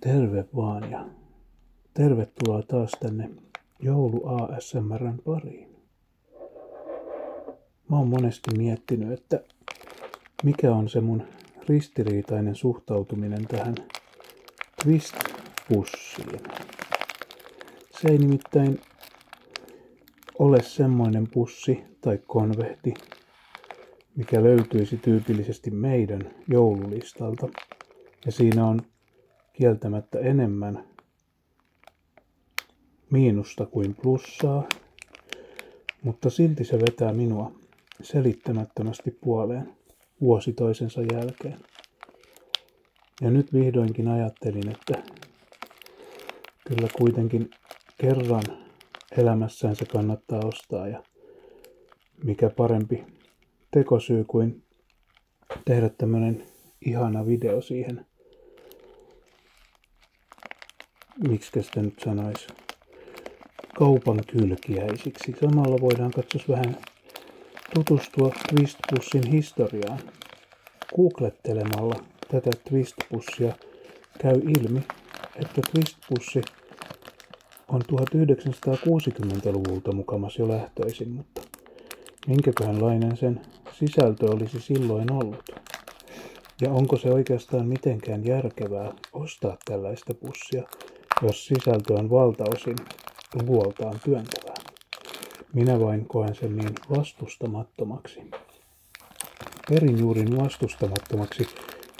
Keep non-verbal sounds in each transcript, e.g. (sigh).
Terve vaan ja tervetuloa taas tänne joulu ASMRn pariin. Mä oon monesti miettinyt, että mikä on se mun ristiriitainen suhtautuminen tähän twist-pussiin. Se ei nimittäin ole semmoinen pussi tai konvehti, mikä löytyisi tyypillisesti meidän joululistalta. Ja siinä on kieltämättä enemmän miinusta kuin plussaa, mutta silti se vetää minua selittämättömästi puoleen vuosi toisensa jälkeen. Ja nyt vihdoinkin ajattelin, että kyllä kuitenkin kerran elämässään se kannattaa ostaa ja mikä parempi tekosyy kuin tehdä tämmönen ihana video siihen. Miksi sitä nyt sanoisi? Kaupan kylkiäisiksi. Samalla voidaan katsoa vähän tutustua Twist Plusin historiaan googlettelemalla tätä twistpussia, käy ilmi, että twistpussi on 1960-luvulta mukamas jo lähtöisin, mutta minkäköhänlainen sen sisältö olisi silloin ollut? Ja onko se oikeastaan mitenkään järkevää ostaa tällaista pussia, jos sisältö on valtaosin luoltaan työntävää? Minä vain koen sen niin vastustamattomaksi perin juurin vastustamattomaksi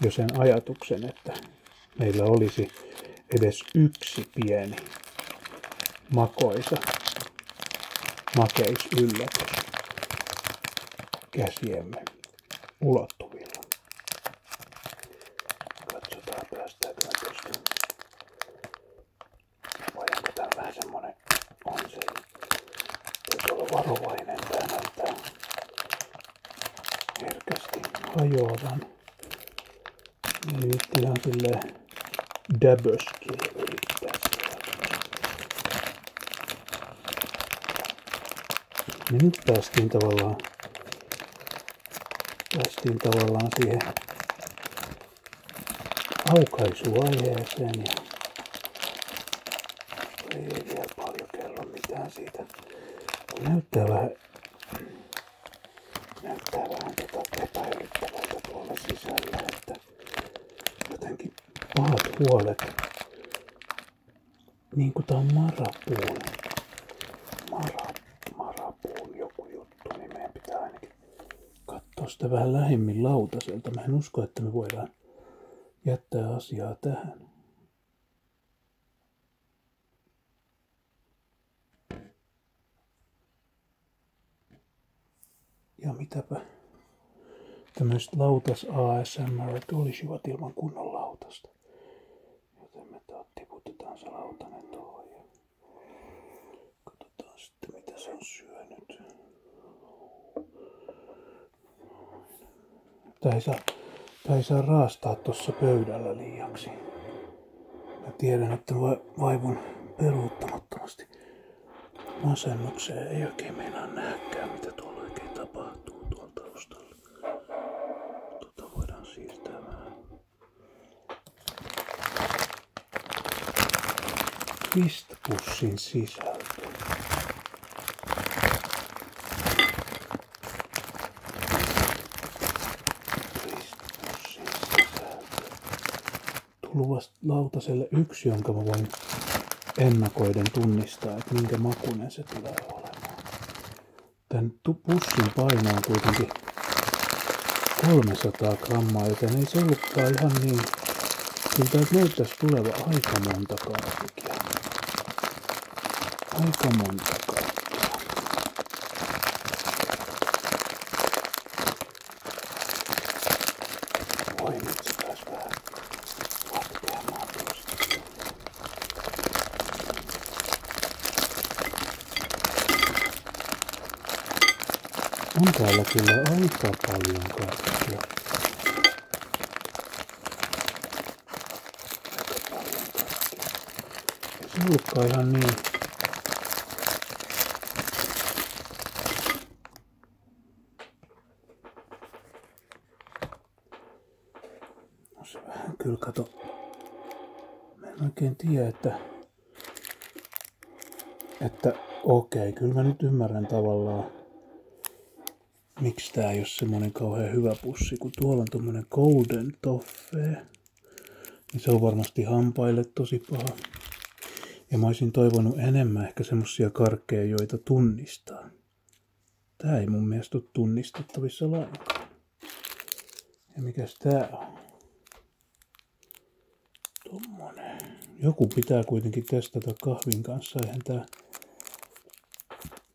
jo sen ajatuksen, että meillä olisi edes yksi pieni makoisa makeisyllätys käsiemme ulottuvilla. Katsotaan päästääkö me tuosta. Voidaanko tämä vähän semmonen on se Pitää olla varovainen tää näyttää. Herkästi hajoavan. Ei vitti ihan silleen däböskin yrittää Ja nyt päästiin tavallaan, päästiin tavallaan siihen aukaisuaiheeseen ja ei vielä paljon kerro mitään siitä. Näyttää vähän, näyttää vähän tota epäilyttävältä tuolla sisällä, että jotenkin pahat huolet. Niin kuin tää on marapuun. Mara, marapuun joku juttu, niin meidän pitää ainakin katsoa sitä vähän lähemmin lautaselta. Mä en usko, että me voidaan jättää asiaa tähän. Ja mitäpä tämmöiset lautas ASMR tulisivat ilman kunnon lautasta. Joten me taas tiputetaan se lautanen tuohon ja katsotaan mitä se on syönyt. Tää ei saa, tää ei saa raastaa tuossa pöydällä liiaksi. Mä tiedän, että va, vaivun peruuttamattomasti masennukseen. Ei oikein meinaa nähkään, mitä tuolla oikein tapahtuu tuolla taustalla. Tota voidaan siirtää vähän. Twist-pussin sisältö. Ristuksen sisältö. Tullut lautaselle yksi, jonka mä voin ennakoiden tunnistaa, että minkä makunen se tulee olemaan. Tän pussin paino on kuitenkin 300 grammaa, joten ei se ihan niin. Kyllä täältä näyttäisi tuleva aika monta kaikkia. Aika monta kaikkea. Voi nyt se taas vähän latkeamaan tuosta. On täällä kyllä aika paljon kaikkea. Se ollutkaan ihan niin. No se vähän kyllä kato. Mä en oikein tiedä, että että okei, okay, kyllä mä nyt ymmärrän tavallaan, Miksi tää ei ole semmonen kauhean hyvä pussi, kun tuolla on tommonen golden toffee. Niin se on varmasti hampaille tosi paha. Ja mä olisin toivonut enemmän ehkä semmosia karkkeja, joita tunnistaa. Tää ei mun mielestä ole tunnistettavissa lainkaan. Ja mikäs tää on? Tommonen. Joku pitää kuitenkin testata kahvin kanssa, eihän tää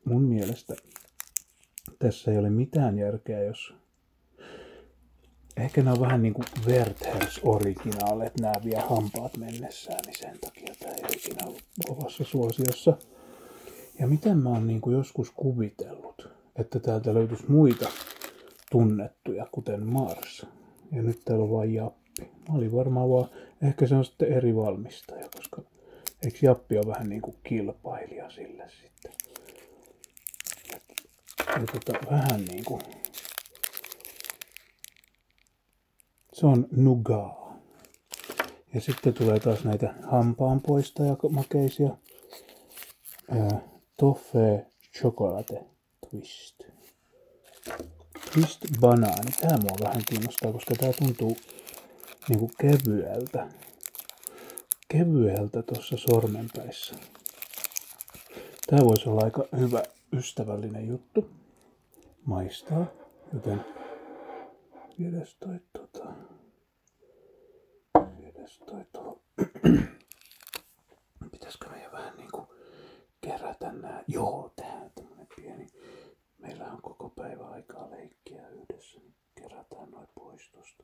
mun mielestä tässä ei ole mitään järkeä, jos... Ehkä nämä on vähän niin kuin Werthers originaalit, nämä vie hampaat mennessään, niin sen takia tämä ei ikinä ollut kovassa suosiossa. Ja miten mä oon niin kuin joskus kuvitellut, että täältä löytyisi muita tunnettuja, kuten Mars. Ja nyt täällä on vain ja Jappi. Mä olin varmaan vaan, ehkä se on sitten eri valmistaja, koska eikö Jappi ole vähän niin kuin kilpailija sille sitten. Ja tota, vähän niin kuin, se on nugaa. Ja sitten tulee taas näitä hampaanpoistajamakeisia. Toffee chocolate twist. Twist banaani. Tämä mua vähän kiinnostaa, koska tää tuntuu niinku kevyeltä. Kevyeltä tuossa sormenpäissä. Tää voisi olla aika hyvä ystävällinen juttu. Maistaa, joten viedes toi tota... Viedes toi tuohon. (clears throat) Pitäisikö meidän vähän niinku kerätä nämä. Joo, tähän tämmönen pieni. Meillä on koko päivä aikaa leikkiä yhdessä, niin kerätään noin pois tosta.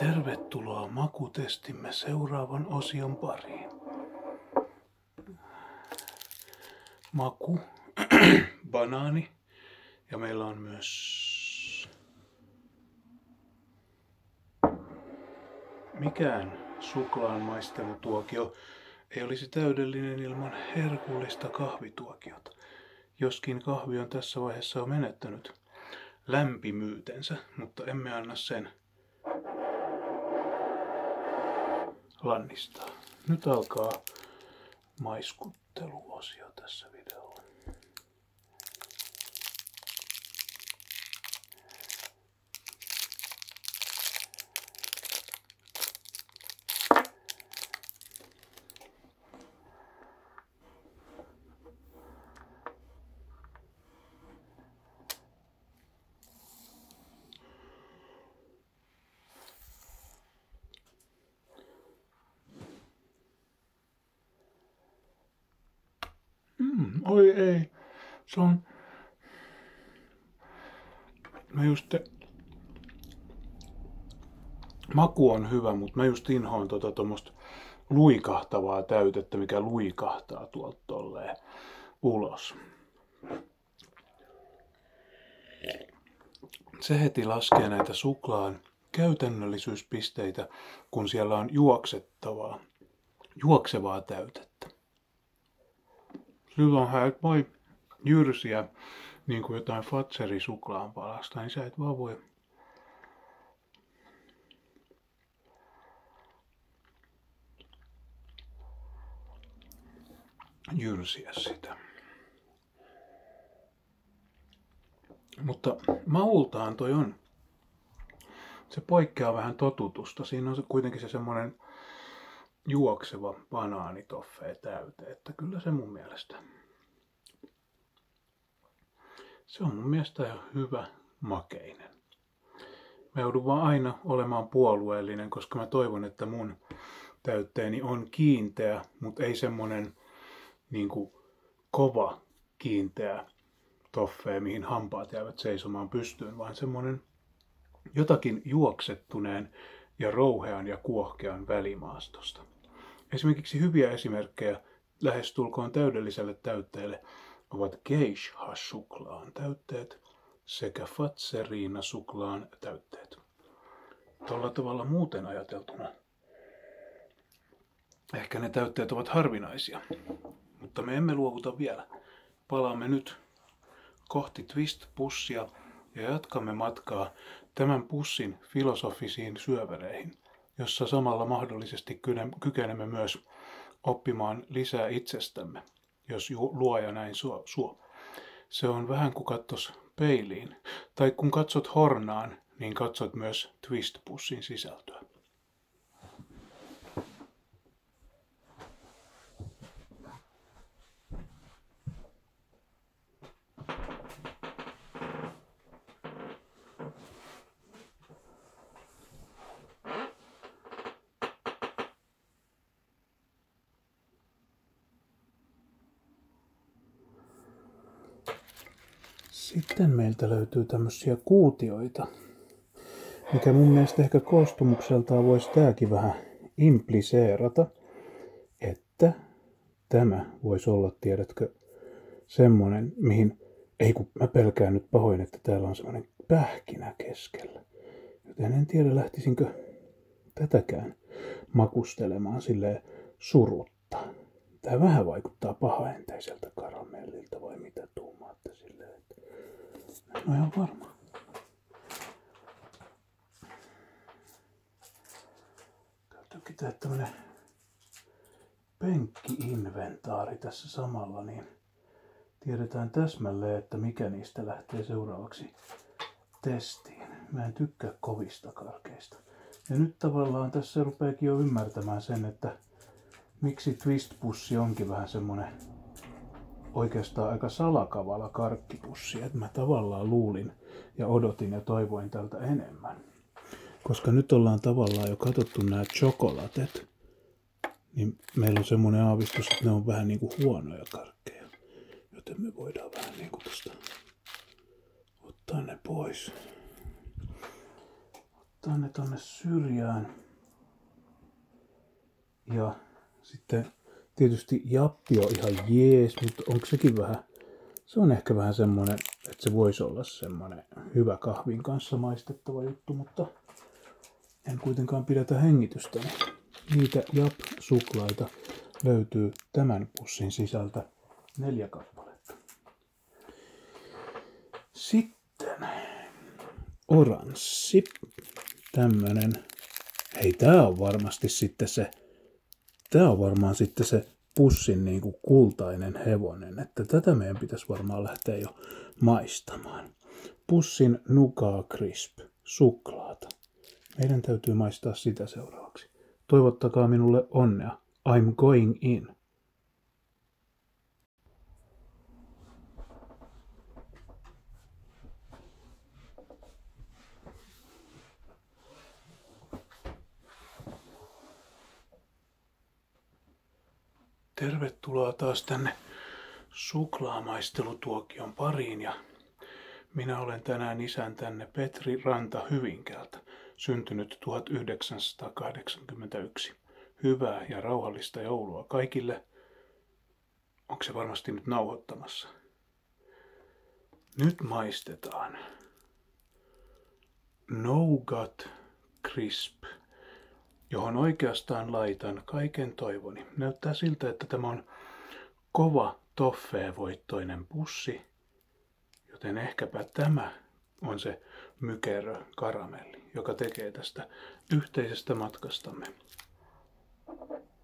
Tervetuloa makutestimme seuraavan osion pariin. Maku, (clears throat) banaani ja meillä on myös mikään suklaan maistelutuokio ei olisi täydellinen ilman herkullista kahvituokiota joskin kahvi on tässä vaiheessa jo menettänyt lämpimyytensä, mutta emme anna sen lannistaa. Nyt alkaa maiskutteluosio tässä videolla. Mm, oi ei. Se on... Mä just Maku on hyvä, mutta mä just inhoan tuota tuommoista luikahtavaa täytettä, mikä luikahtaa tuolta tolleen ulos. Se heti laskee näitä suklaan käytännöllisyyspisteitä, kun siellä on juoksettavaa, juoksevaa täytettä. Silloinhän et voi jyrsiä niin kuin jotain fatserisuklaan palasta, niin sä et vaan voi jyrsiä sitä. Mutta maultaan toi on. Se poikkeaa vähän totutusta. Siinä on kuitenkin se semmoinen juokseva banaanitoffee täyte, että kyllä se mun mielestä se on mun mielestä hyvä makeinen. Mä joudun vaan aina olemaan puolueellinen, koska mä toivon, että mun täytteeni on kiinteä, mutta ei semmonen niin kova kiinteä toffee, mihin hampaat jäävät seisomaan pystyyn, vaan semmonen jotakin juoksettuneen ja rouhean ja kuohkean välimaastosta. Esimerkiksi hyviä esimerkkejä lähestulkoon täydelliselle täytteelle ovat geisha-suklaan täytteet sekä fatseriina-suklaan täytteet. Tällä tavalla muuten ajateltuna ehkä ne täytteet ovat harvinaisia, mutta me emme luovuta vielä. Palaamme nyt kohti twist-pussia ja jatkamme matkaa tämän pussin filosofisiin syövereihin, jossa samalla mahdollisesti kykenemme myös oppimaan lisää itsestämme, jos luoja näin suo. suo. Se on vähän kuin katsos peiliin, tai kun katsot hornaan, niin katsot myös twist-pussin sisältöä. Sitten meiltä löytyy tämmöisiä kuutioita, mikä mun mielestä ehkä koostumukseltaan voisi tääkin vähän impliseerata, että että tämä voisi olla, tiedätkö, semmoinen, mihin, ei kun mä pelkään nyt pahoin, että täällä on semmoinen pähkinä keskellä. Joten en tiedä, lähtisinkö tätäkään makustelemaan sille surutta. Tämä vähän vaikuttaa pahaenteiseltä karamellilta vai mitä tuumaatte silleen. En no ole ihan varma. Täytyykin tehdä tämmönen penkki-inventaari tässä samalla, niin tiedetään täsmälleen, että mikä niistä lähtee seuraavaksi testiin. Mä en tykkää kovista karkeista. Ja nyt tavallaan tässä rupeekin jo ymmärtämään sen, että miksi twistpussi onkin vähän semmonen oikeastaan aika salakavala karkkipussi. Että mä tavallaan luulin, ja odotin ja toivoin tältä enemmän. Koska nyt ollaan tavallaan jo katsottu nämä chokolatet, niin meillä on semmoinen aavistus, että ne on vähän niin kuin huonoja karkkeja. Joten me voidaan vähän niin kuin tosta ottaa ne pois. Ottaa ne tonne syrjään. Ja sitten tietysti jappi on ihan jees, mutta onko sekin vähän se on ehkä vähän semmoinen, että se voisi olla semmoinen hyvä kahvin kanssa maistettava juttu, mutta en kuitenkaan pidätä hengitystä. Niitä Jap-suklaita löytyy tämän pussin sisältä neljä kappaletta. Sitten oranssi. Tämmönen. Hei, tää on varmasti sitten se Tämä on varmaan sitten se pussin niin kuin kultainen hevonen, että tätä meidän pitäisi varmaan lähteä jo maistamaan. Pussin nukaa crisp, suklaata. Meidän täytyy maistaa sitä seuraavaksi. Toivottakaa minulle onnea. I'm going in. Tervetuloa taas tänne suklaamaistelutuokion pariin ja minä olen tänään isän tänne Petri Ranta hyvinkältä. syntynyt 1981. Hyvää ja rauhallista joulua kaikille. Onko se varmasti nyt nauhoittamassa? Nyt maistetaan. Nougat Crisp, johon oikeastaan laitan kaiken toivoni. Näyttää siltä, että tämä on kova toffee pussi, joten ehkäpä tämä on se mykerö karamelli, joka tekee tästä yhteisestä matkastamme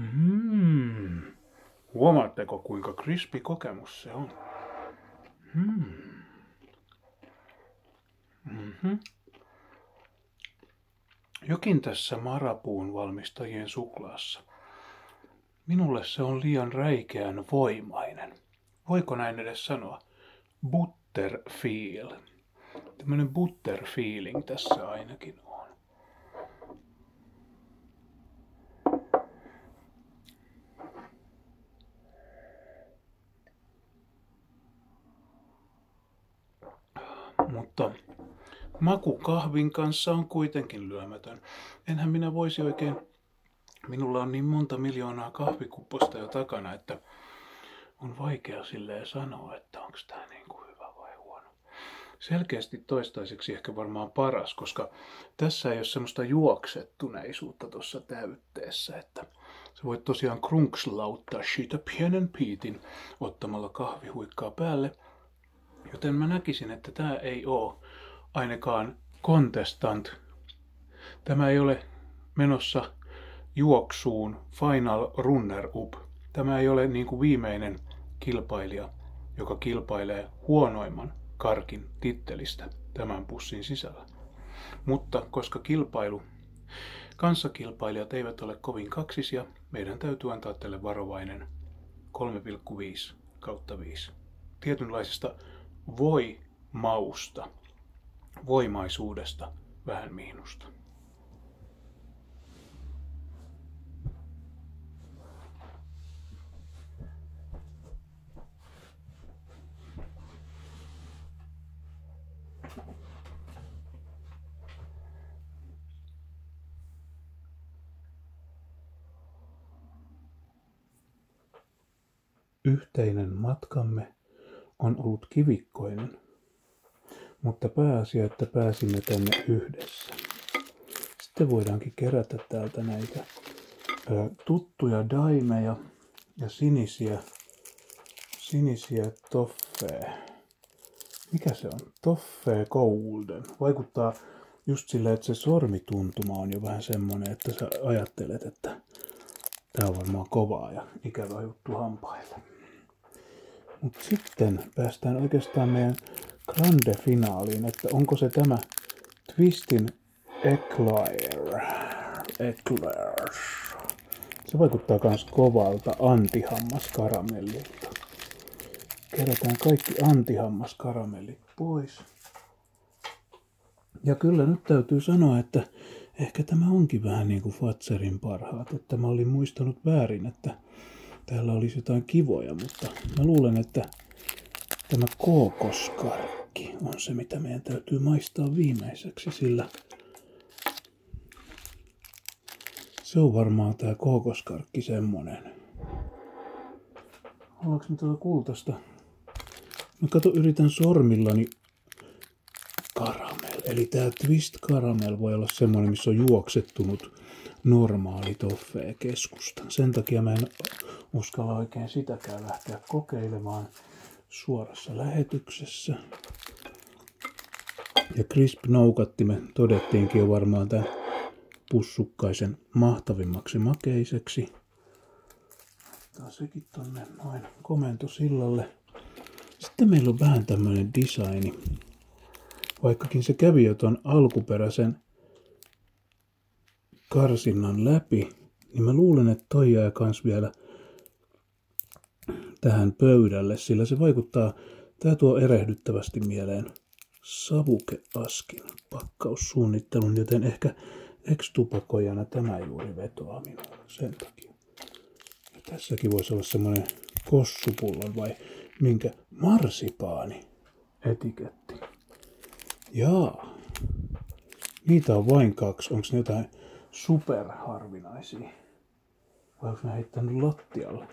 Mm. Huomaatteko kuinka krispi kokemus se on? Mm. Mm-hmm. Jokin tässä marapuun valmistajien suklaassa. Minulle se on liian räikeän voimainen. Voiko näin edes sanoa? Butterfeel. Tämmöinen feeling tässä ainakin on. Mutta maku kahvin kanssa on kuitenkin lyömätön. Enhän minä voisi oikein, minulla on niin monta miljoonaa kahvikupposta jo takana, että on vaikea silleen sanoa, että onko tämä niin kuin hyvä vai huono. Selkeästi toistaiseksi ehkä varmaan paras, koska tässä ei ole semmoista juoksettuneisuutta tuossa täytteessä, että että sä voit tosiaan krunkslauttaa siitä pienen piitin ottamalla kahvihuikkaa päälle. Joten mä näkisin, että tämä ei oo ainakaan kontestant. Tämä ei ole menossa juoksuun final runner up. Tämä ei ole niin kuin viimeinen kilpailija, joka kilpailee huonoimman karkin tittelistä tämän pussin sisällä. Mutta koska kilpailu Kanssakilpailijat eivät ole kovin kaksisia, meidän täytyy antaa tälle varovainen 3,5 kautta 5. Tietynlaisesta voi mausta, voimaisuudesta vähän miinusta. Yhteinen matkamme on ollut kivikkoinen, mutta pääasia, että pääsimme tänne yhdessä. Sitten voidaankin kerätä täältä näitä tuttuja daimeja ja sinisiä, sinisiä toffee. Mikä se on? Toffee Golden. Vaikuttaa just sillä, että se sormituntuma on jo vähän semmonen, että sä ajattelet, että tää on varmaan kovaa ja ikävä juttu hampaille. Mut sitten päästään oikeastaan meidän grande finaaliin, että onko se tämä Twistin Eclair. Eclairs. Se vaikuttaa myös kovalta antihammaskaramellilta. Kerätään kaikki antihammaskaramellit pois. Ja kyllä nyt täytyy sanoa, että ehkä tämä onkin vähän niin kuin Fatserin parhaat. Että mä olin muistanut väärin, että täällä olisi jotain kivoja, mutta mä luulen, että tämä kookoskarkki on se, mitä meidän täytyy maistaa viimeiseksi, sillä se on varmaan tää kookoskarkki semmonen. Ollaanko me tuolla kultasta? Mä kato, yritän sormillani karamel. Eli tää twist karamel voi olla semmonen, missä on juoksettunut normaali toffee keskustan. Sen takia mä en uskalla oikein sitäkään lähteä kokeilemaan suorassa lähetyksessä. Ja crisp noukattimme todettiinkin jo varmaan tämän pussukkaisen mahtavimmaksi makeiseksi. Laitetaan sekin tonne noin komentosillalle. Sitten meillä on vähän tämmöinen designi. Vaikkakin se kävi jo ton alkuperäisen karsinnan läpi, niin mä luulen, että toi jää kans vielä tähän pöydälle, sillä se vaikuttaa, tämä tuo erehdyttävästi mieleen savukeaskin pakkaussuunnittelun, joten ehkä ekstupakojana tämä juuri vetoaa minulle sen takia. Ja tässäkin voisi olla semmoinen kossupullon vai minkä marsipaani etiketti. Jaa, niitä on vain kaksi. Onko ne jotain superharvinaisia? Ei. Vai onko mä heittänyt lattialle?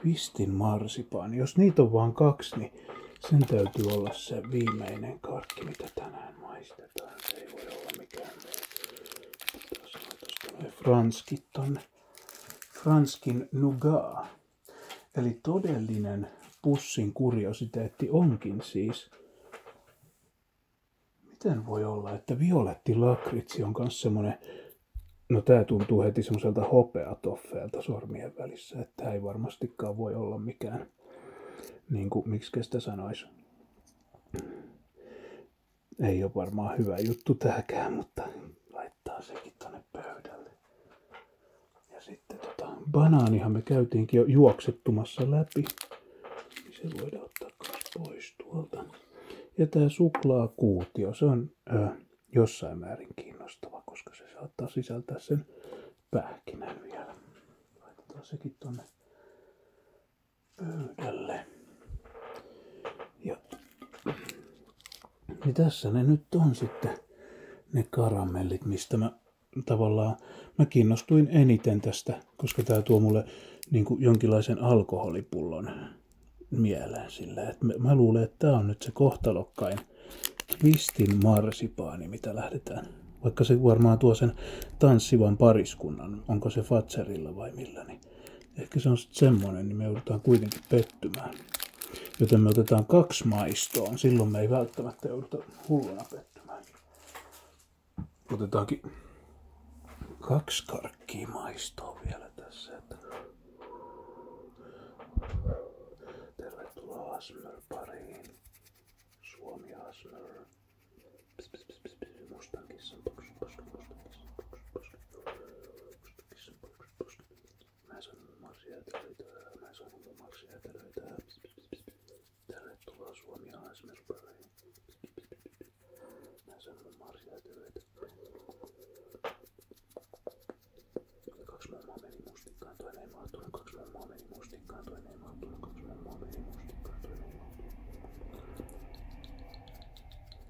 Twistin marsipaan. Jos niitä on vaan kaksi, niin sen täytyy olla se viimeinen karkki, mitä tänään maistetaan. Se ei voi olla mikään on Franskit tonne. Franskin nugaa. Eli todellinen pussin kuriositeetti onkin siis Miten voi olla, että violetti lakritsi on myös semmoinen... No tämä tuntuu heti semmoiselta hopeatoffeelta sormien välissä, että tää ei varmastikaan voi olla mikään, niin kuin, miksi kestä sanoisi. Ei ole varmaan hyvä juttu tääkään, mutta laittaa sekin tonne pöydälle. Ja sitten tota, banaanihan me käytiinkin jo juoksettumassa läpi niin se voidaan ottaa myös pois tuolta. Ja tämä suklaakuutio, se on ö, jossain määrin kiinnostava, koska se saattaa sisältää sen pähkinän vielä. Laitetaan sekin tuonne pöydälle. Ja niin tässä ne nyt on sitten ne karamellit, mistä mä tavallaan, mä kiinnostuin eniten tästä koska tämä tuo mulle niin kuin jonkinlaisen alkoholipullon mieleen sillä. Et mä, mä luulen, että tämä on nyt se kohtalokkain twistin marsipaani, mitä lähdetään. Vaikka se varmaan tuo sen tanssivan pariskunnan, onko se Fatserilla vai millä, niin ehkä se on sitten semmoinen, niin me joudutaan kuitenkin pettymään. Joten me otetaan kaksi maistoa, silloin me ei välttämättä jouduta hulluna pettymään. Otetaankin kaksi karkkia maistoa vielä tässä. Että... Tervetuloa Asmer pariin. Suomi Asmer. Tervetuloa Suomiaan Asmerspäivään. Mä sanon Marja Töitä. Kaksi mummoa meni mustikkaan, ei mahtunut. Kaksi mummoa meni mustikkaan, ei mahtunut.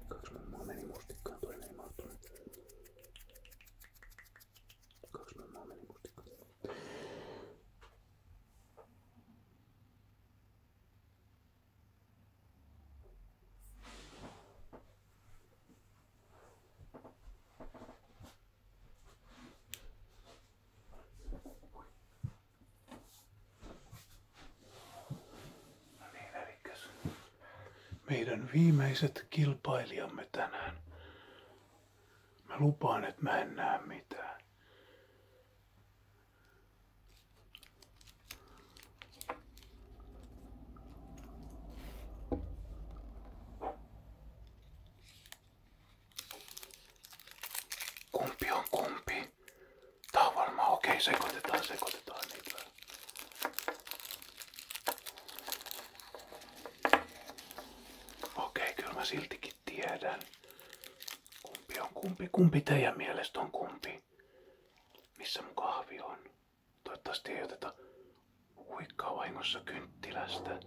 Kaksi mummoa meni mustikkaan, ei mahtunut. Kaksi mummoa meni mustikkaan, ei mahtunut. Kaksi mummoa meni meidän viimeiset kilpailijamme tänään. Mä lupaan, että mä en näe mitään. Kumpi on kumpi? Tää okei, sekoitetaan, sekoitetaan niitä. Okei, kyllä mä silti itsekin tiedän. Kumpi on kumpi? Kumpi teidän mielestä on kumpi? Missä mun kahvi on? Toivottavasti ei oteta huikkaa vahingossa kynttilästä.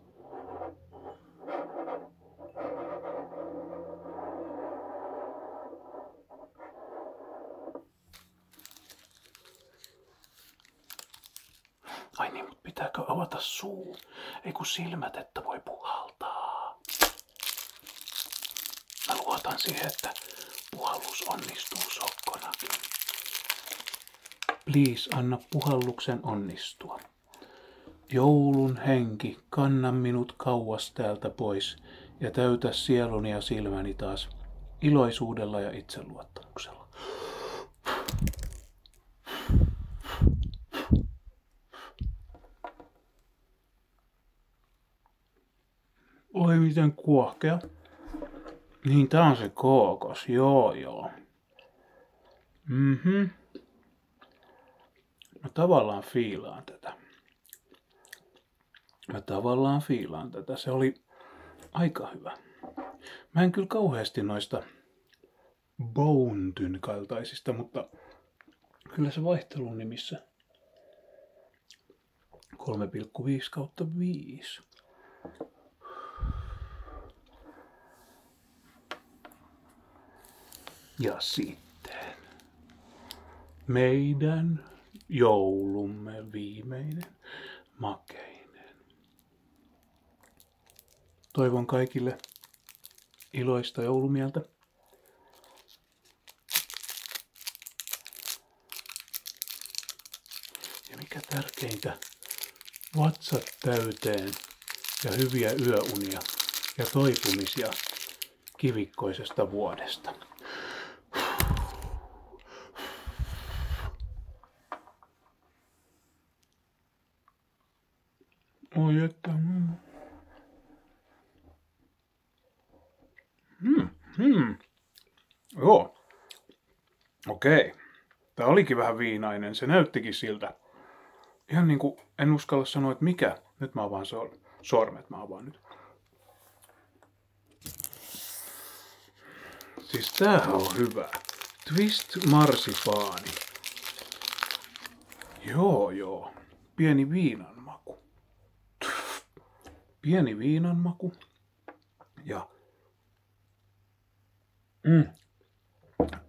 Ai niin, mutta pitääkö avata suu? Ei kun silmät, että voi puhaltaa. Mä luotan siihen, että puhallus onnistuu sokkonakin. Please anna puhalluksen onnistua. Joulun henki, kanna minut kauas täältä pois ja täytä sieluni ja silmäni taas iloisuudella ja itseluottamuksella. Oi miten kuohkea. Niin tää on se kookos, joo joo. Mhm. Mä tavallaan fiilaan tätä. Mä tavallaan fiilaan tätä. Se oli aika hyvä. Mä en kyllä kauheasti noista Bountyn kaltaisista, mutta kyllä se vaihtelu nimissä 3,5 kautta 5. Ja sitten meidän joulumme viimeinen makeinen. Toivon kaikille iloista joulumieltä. Ja mikä tärkeintä, vatsat täyteen ja hyviä yöunia ja toipumisia kivikkoisesta vuodesta. Oljetta. Mm. Hmm. Hmm. Joo. Okei. Tämä olikin vähän viinainen. Se näyttikin siltä. Ihan niin kuin en uskalla sanoa, että mikä. Nyt mä avaan sor- sormet. Mä avaan nyt. Siis tämähän on hyvä. Twist marsipaani. Joo, joo. Pieni viinanmaku, Pieni viinanmaku, Ja mm.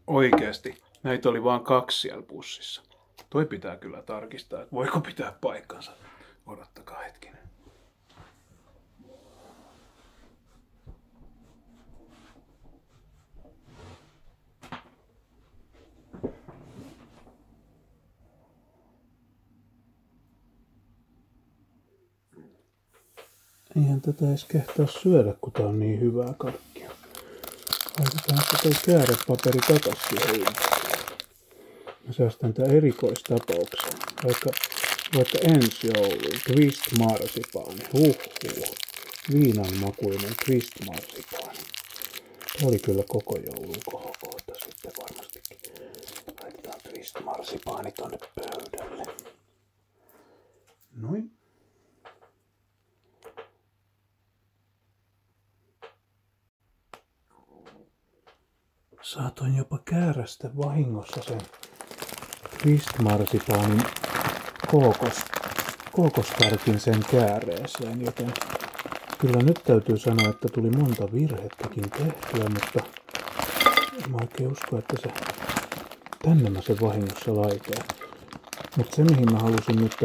oikeasti näitä oli vain kaksi siellä pussissa. Toi pitää kyllä tarkistaa, että voiko pitää paikkansa. Odottakaa hetkinen. Eihän tätä edes kehtaa syödä, kun tää on niin hyvää karkkia. Laitetaan se toi käärepaperi takas siihen Mä säästän tää erikoistapaukseen. Vaikka, vaikka ensi jouluun, Twist Mars kristimarsipaani. Huhhuh. Viinan makuinen kristimarsipaani. Oli kyllä koko joulun kohokohta sitten varmastikin. Laitetaan kristimarsipaani tonne pöydälle. Noin. Saatoin jopa käärästä vahingossa sen Twist-marsipaanin kookos, kookoskarkin sen kääreeseen, joten kyllä nyt täytyy sanoa, että tuli monta virhettäkin tehtyä, mutta en mä oikein usko, että se tänne mä se vahingossa laitoin. Mutta se, mihin mä halusin nyt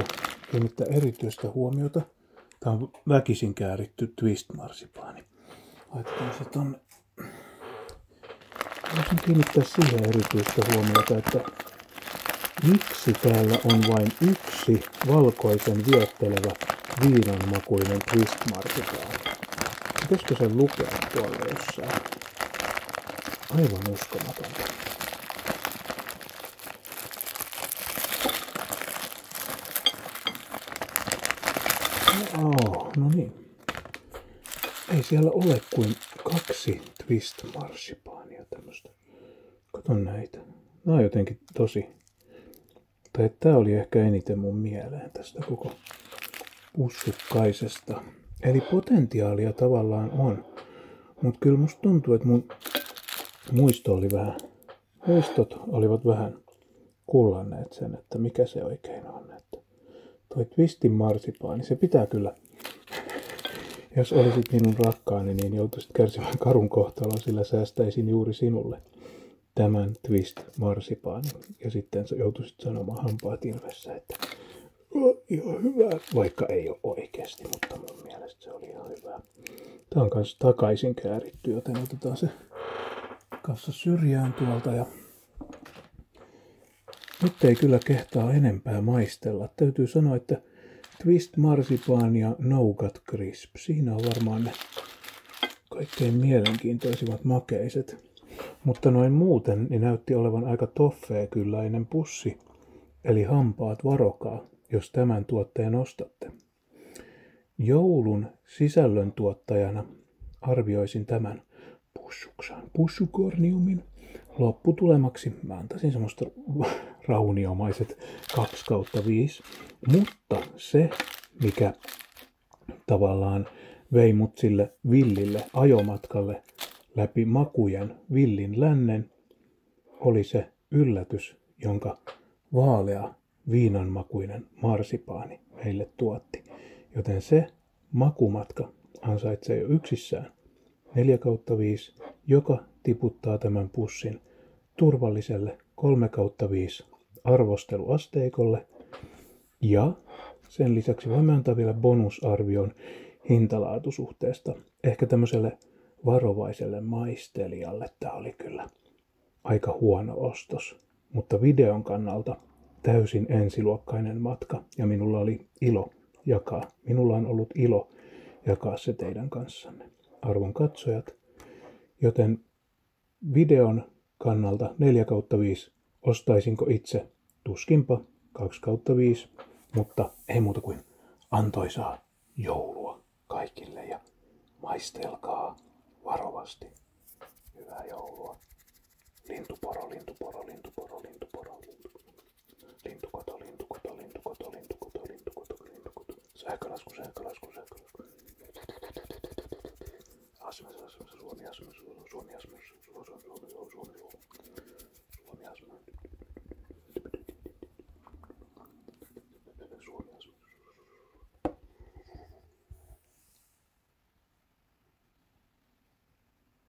kiinnittää erityistä huomiota, tämä on väkisin kääritty twist-marsipaani. Laitetaan se tonne. Haluaisin kiinnittää siihen erityistä huomiota, että Miksi täällä on vain yksi valkoisen viettelevä viinanmakuinen Twistmartikaan? Pitäisikö sen lukea tuolla jossain? Aivan uskomaton. Oh, no niin. Ei siellä ole kuin kaksi Twist marsipaania tämmöstä. Kato näitä. Nämä on jotenkin tosi... Tai tämä oli ehkä eniten mun mieleen tästä koko pussukkaisesta. Eli potentiaalia tavallaan on. mut kyllä musta tuntuu, että mun muisto oli vähän, muistot olivat vähän kullanneet sen, että mikä se oikein on. Että Toi twistin marsipaani, niin se pitää kyllä. Jos olisit minun rakkaani, niin joutuisit kärsimään karun kohtalon, sillä säästäisin juuri sinulle tämän twist marsipaani Ja sitten joutuisit sanomaan hampaat ilmessä, että oh, ihan hyvä, vaikka ei ole oikeasti, mutta mun mielestä se oli ihan hyvä. Tämä on kanssa takaisin kääritty, joten otetaan se kanssa syrjään tuolta ja nyt ei kyllä kehtaa enempää maistella. Täytyy sanoa, että Twist Marsipaan ja Nougat Crisp. Siinä on varmaan ne kaikkein mielenkiintoisimmat makeiset. Mutta noin muuten niin näytti olevan aika toffee kylläinen pussi. Eli hampaat varokaa, jos tämän tuotteen ostatte. Joulun sisällön tuottajana arvioisin tämän pussuksaan pussukorniumin. Lopputulemaksi mä antaisin semmoista (laughs) rauniomaiset 2 kautta 5. Mutta se, mikä tavallaan vei mut sille villille ajomatkalle läpi makujen villin lännen, oli se yllätys, jonka vaalea viinanmakuinen marsipaani meille tuotti. Joten se makumatka ansaitsee jo yksissään 4 5, joka tiputtaa tämän pussin turvalliselle 3 5 arvosteluasteikolle ja sen lisäksi voimme antaa vielä bonusarvion hintalaatusuhteesta. Ehkä tämmöiselle varovaiselle maistelijalle tämä oli kyllä aika huono ostos, mutta videon kannalta täysin ensiluokkainen matka ja minulla oli ilo jakaa. Minulla on ollut ilo jakaa se teidän kanssanne, arvon katsojat. Joten videon kannalta 4 kautta 5 ostaisinko itse? Tuskinpa 2 kautta 5, mutta ei muuta kuin antoisaa joulua kaikille ja maistelkaa varovasti. Hyvää joulua. Lintuporo, lintuporo, lintuporo, lintuporo, lintuporo. Lintukoto, lintukoto, lintukoto, lintukoto, lintukoto, lintukoto. Sähkölasku, sähkölasku, sähkölasku. Asumis, asumis, Suomi, asumis, Suomi, asumis, Suomi, Suomi, Suomi, Suomi, Suomi, asumis. Suomi, asumis.